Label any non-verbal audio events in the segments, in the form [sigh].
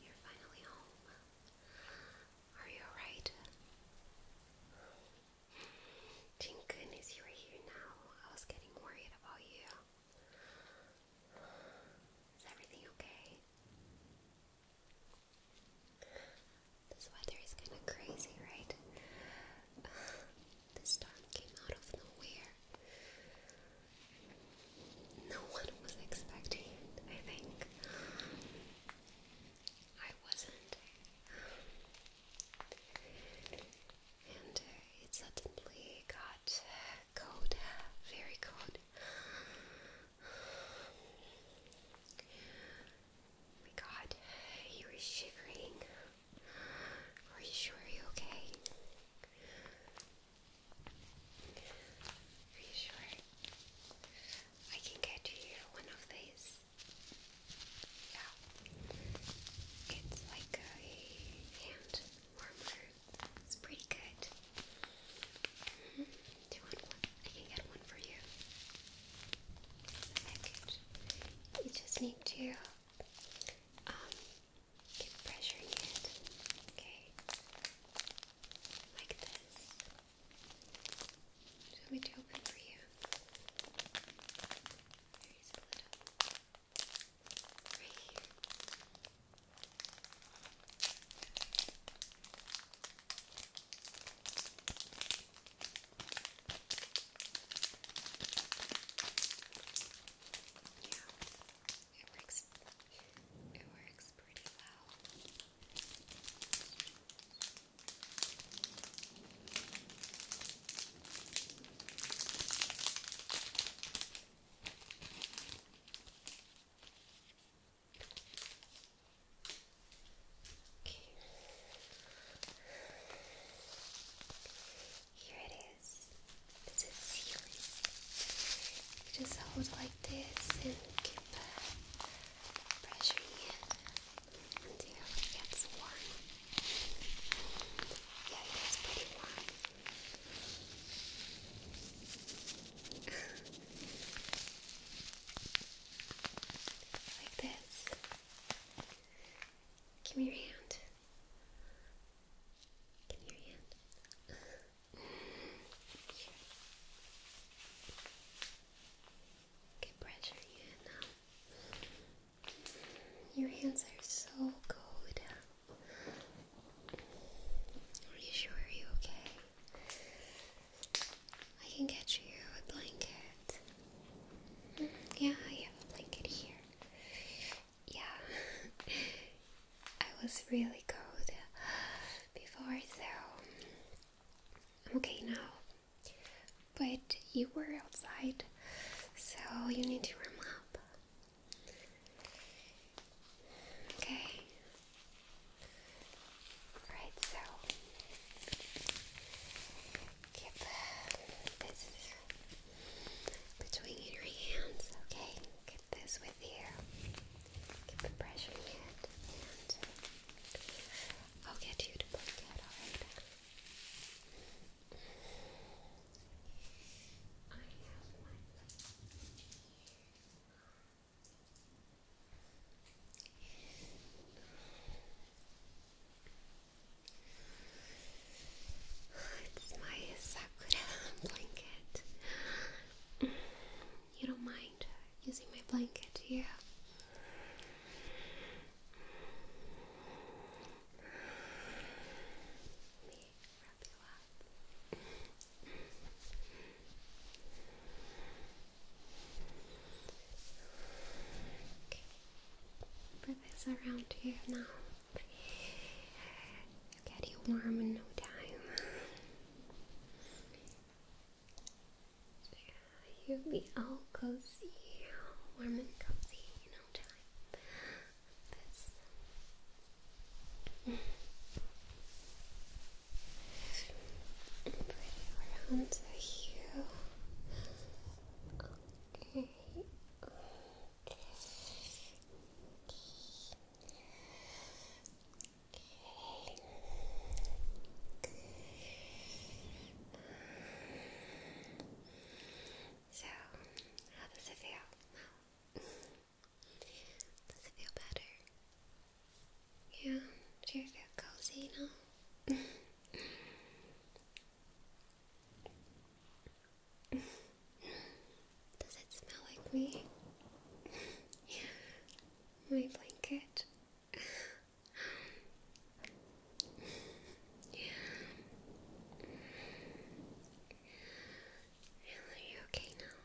You're finally home. Are you alright? Thank goodness you are here now. I was getting worried about you. Is everything okay? This weather is kind of crazy, right? this storm came out of nowhere. No one was expecting it, I think. I wasn't. And uh, it suddenly got cold, very cold my god, you were shivering. Are you sure you're okay? Are you sure? I can get you one of these. Yeah. It's like a hand warmer. It's pretty good. Mm-hmm. I can get one for you. It's package. You just need to um keep pressuring it. Okay. Like this. So let me to for you. There's a little here. Yeah, it works. It works pretty well. Okay. Okay. Here it is. This is healing. just hold like this and keep pressuring it until it gets warm. Yeah, it pretty warm. [laughs] Like this. Give me your hand. Give me your hand. Get pressure in now. Your hands are so cold. Reassure you, okay? I can get you a blanket. yeah, I have a blanket here. Yeah, [laughs] I was really cold before, so I'm okay now. But you were outside, so you need to warm up. Okay, Right, so keep this between your hands, okay? Keep this with you. Keep pressing it, and I'll get you to blink it, alright? It's my sakura blanket. Mm, you don't mind using my blanket, do you? Let me wrap you up. Okay. Put this around here now. get you warm in no time. You'll be all cozy, warm and cozy in no time. Bring around Okay. Okay. Okay. So, how does it feel Does it feel better? Yeah, do you feel cozy now? Does it smell like me? My blanket. Are you okay now?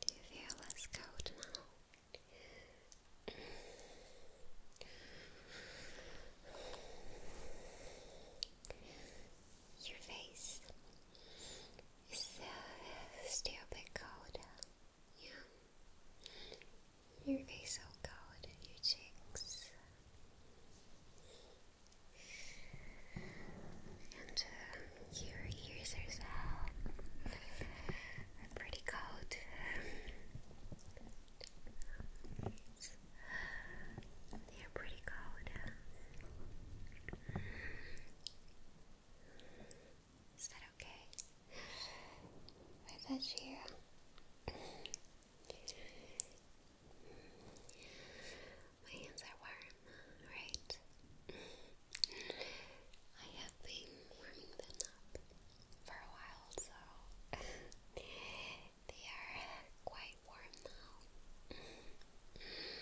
Do you feel less cold now? Your face is still a bit cold. Yeah. Your face so cold, your cheeks. And uh, your ears are so pretty cold. They're pretty cold. Is that okay? With you? My hands are warm, right? I have been warming them up for a while, so [laughs] they are quite warm now. Is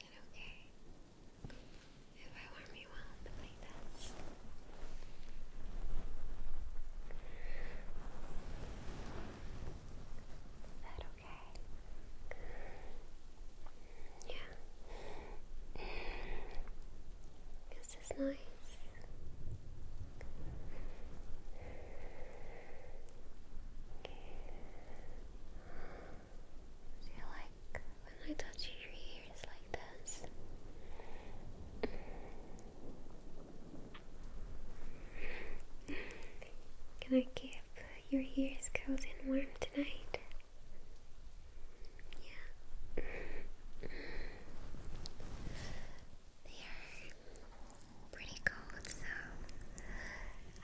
that okay? If I warm you up like this. Is that okay? Yeah. Is nice? Do like when I touch your ears like this? Can I keep your ears cozy and warm tonight? Yeah. They are pretty cold, so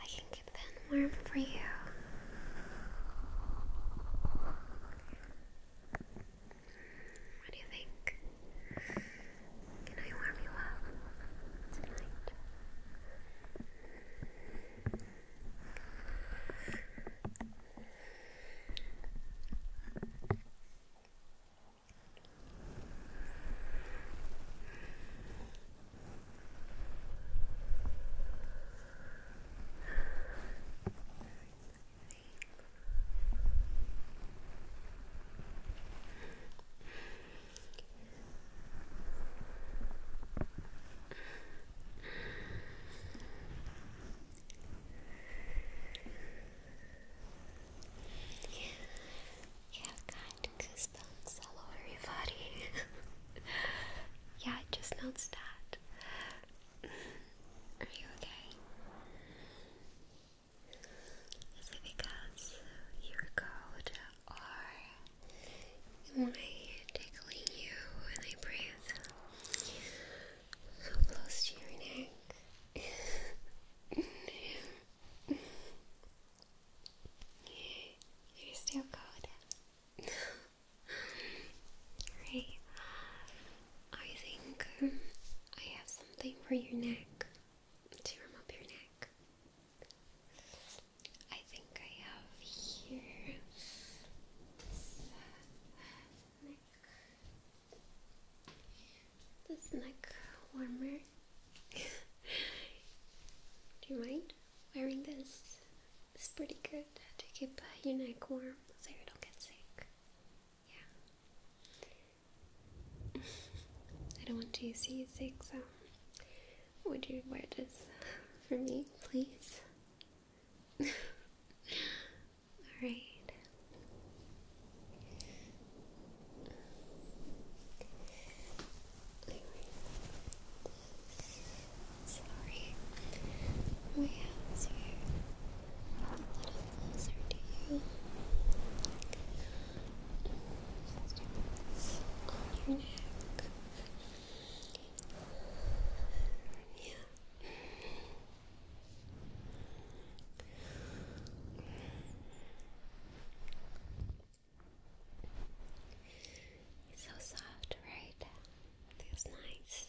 I can keep them warm for you. What do you think? Can I warm you up tonight? You have kind goosebumps all over your body. [laughs] yeah, just noticed that. Are you okay? Is it because you're cold or am I tickling you when I breathe so close to your neck? [laughs] you still cold. Hey, I think I have something for your neck to warm up your neck. I think I have here this neck, this neck warmer. [laughs] Do you mind wearing this it's pretty good to keep your neck warm so you don't get sick. Yeah. [laughs] I don't want to see you sick, so would you wear this [laughs] for me, please? [laughs] Alright. Sorry. My hands are a little closer to you. Just do your neck. Yeah. so soft, right? It's nice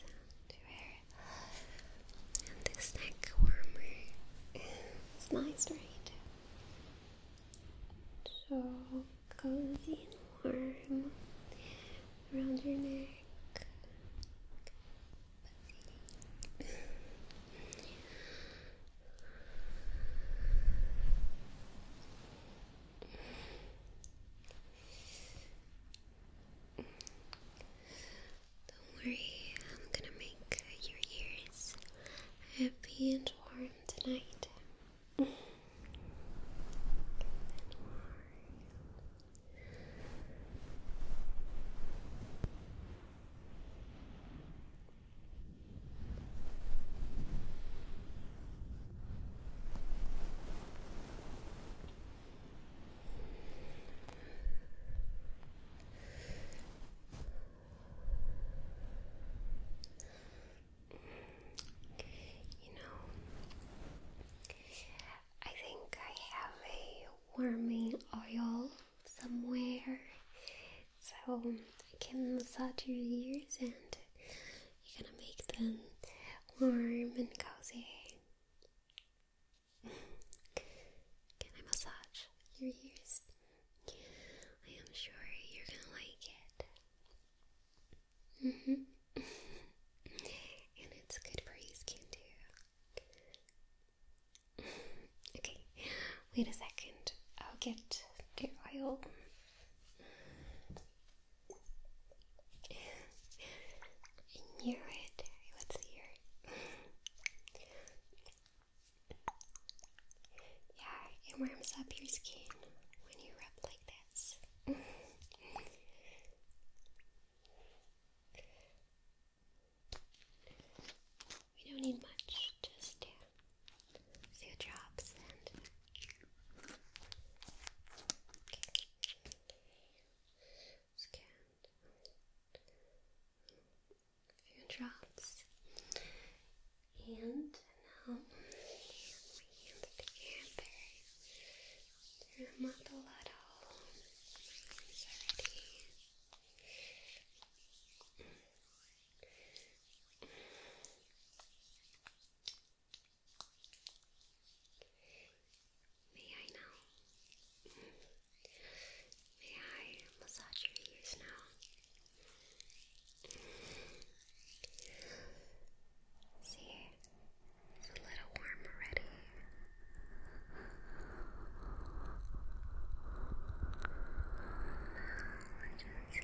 to wear. And this neck warmer. it's nice, right? So cozy and warm around your neck. Don't worry, I'm gonna make your ears happy and warm tonight. You know, I think I have a warming oil somewhere so I can massage your ears and you're gonna make them warm and cozy. Can I massage your ears? I am sure you're gonna like it. hmm and it's good for your skin too. okay, wait a second. I'll get the oil. I knew it. I would see yeah, it warms up your skin when you rub like this. we don't need much, just uh, few drops and okay. few drops. And now my hands together. They're not a lot all. My May I now? May I massage your ears now? See, it's a little warm already. Now, okay.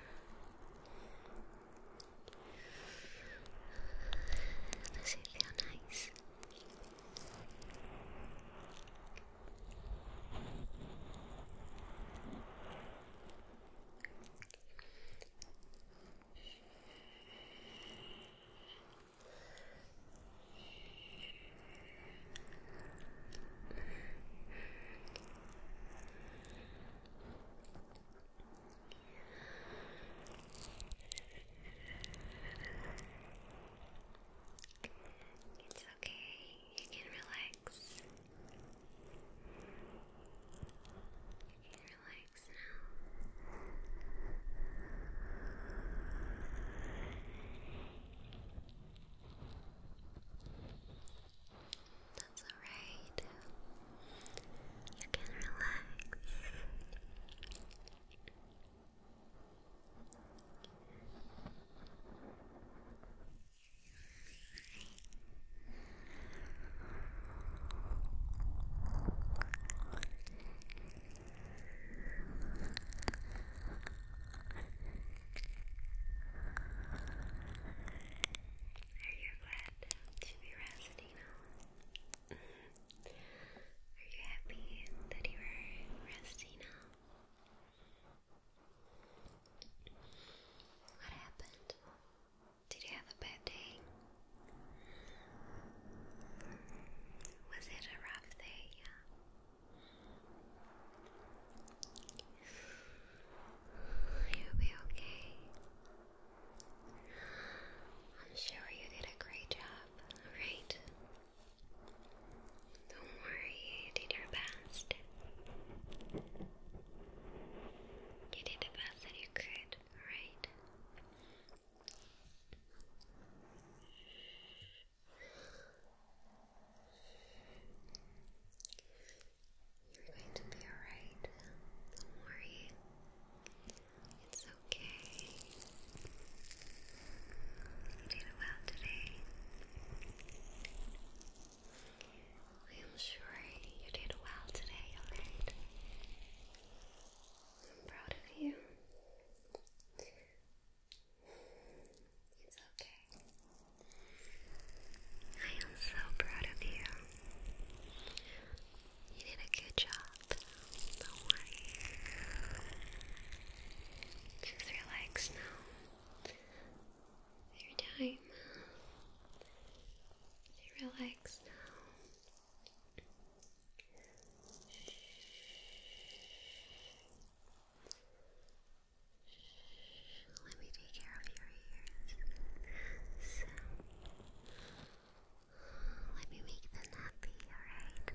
Does it feel nice? It's okay, you can relax. relax now. That's alright. You can relax. Are you glad to be resting now? Are you happy that you are resting now? What happened? Did you have a bad day? Was it a rough day? [sighs] You'll be okay. I'm sure you did a great job, alright? Don't worry, you did your best. You did the best that you could, alright? You're going to be alright. Don't worry. It's okay. You did well today. I'm sure you did well today, alright? I'm proud of you. It's okay. I am so proud of you. You did a good job. Don't worry. Just relax now. Your time. relax now. Let me take care of your ears. let me make them happy, alright?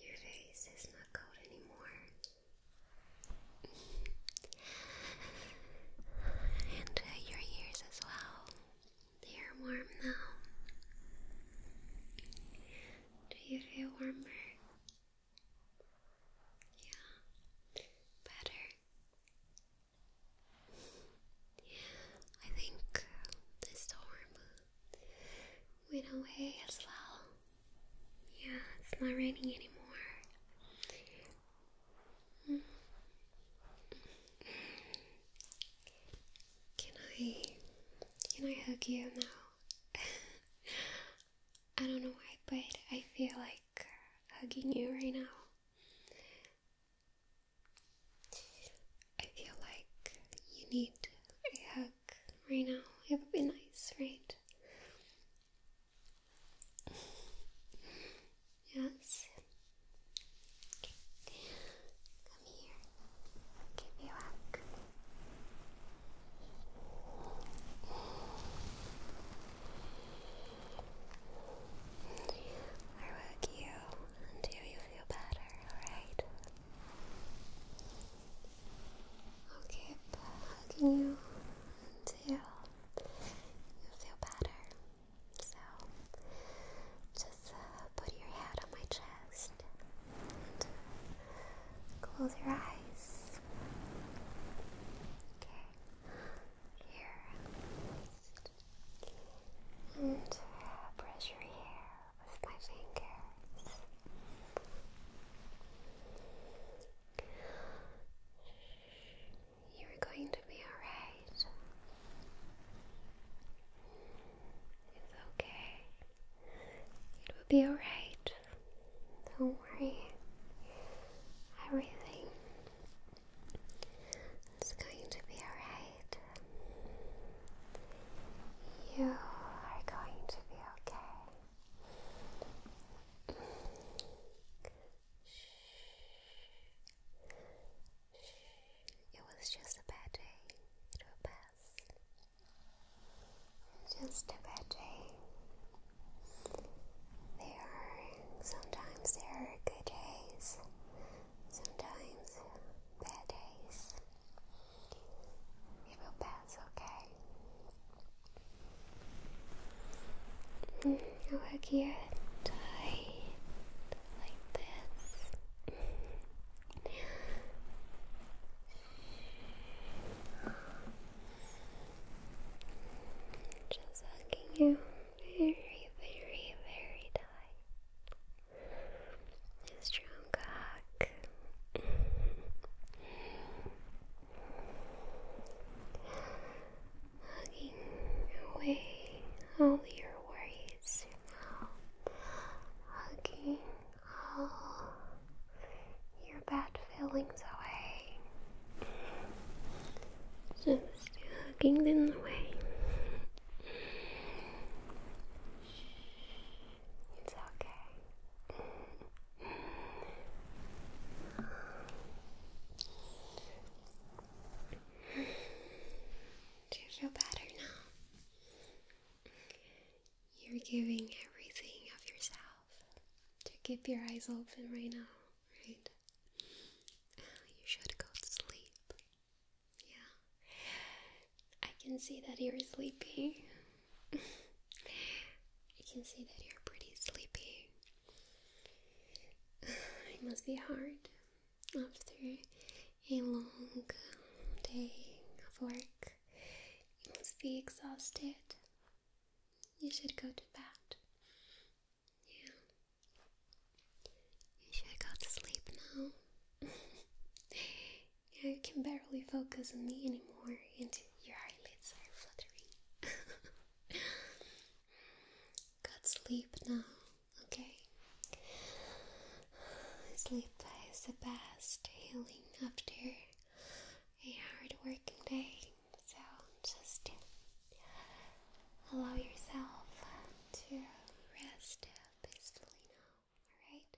Your face is not cold anymore and uh, your ears as well. They are warm now. Do you feel warmer? Yeah, better. I think uh, this storm went away as well. Yeah, it's not raining anymore. Can I can I hug you now? [laughs] I don't know why, but I feel like hugging you right now. I feel like you need a hug right now. It would be nice, right? Yes. Come here. Give me a hug. I hug you until you feel better, alright? I'll keep hugging you until you feel better. So just uh, put your head on my chest uh, close your eyes. Okay, here. And uh, brush your hair with my fingers. You're going to be alright. It's okay. It will be alright. Don't worry. Everything is going to be alright. You are going to be okay. It was just a bad day. It pass. Just a bad day. There are sometimes there are good days, sometimes bad days. It will pass, okay? Now mm-hmm. work here tight like this. Just hugging you very, very, very tight. It's true как. Hugging away all your worries, you know. Hugging all your bad feelings away. Just hugging them away. Shh. It's okay. Do you feel better now? You're giving everything of yourself to keep your eyes open right now, right? Oh, you should go sleep. Yeah. I can see that you're sleepy. [laughs] You can see that you're pretty sleepy. [sighs] It must be hard after a long day of work. You must be exhausted. You should go to bed. Yeah. You should go to sleep now. [laughs] Yeah, you can barely focus on me anymore, and your eyelids are fluttering. [laughs] Got sleep now, okay? Sleep is the best healing after a hard working day, so just allow yourself to rest peacefully now, alright?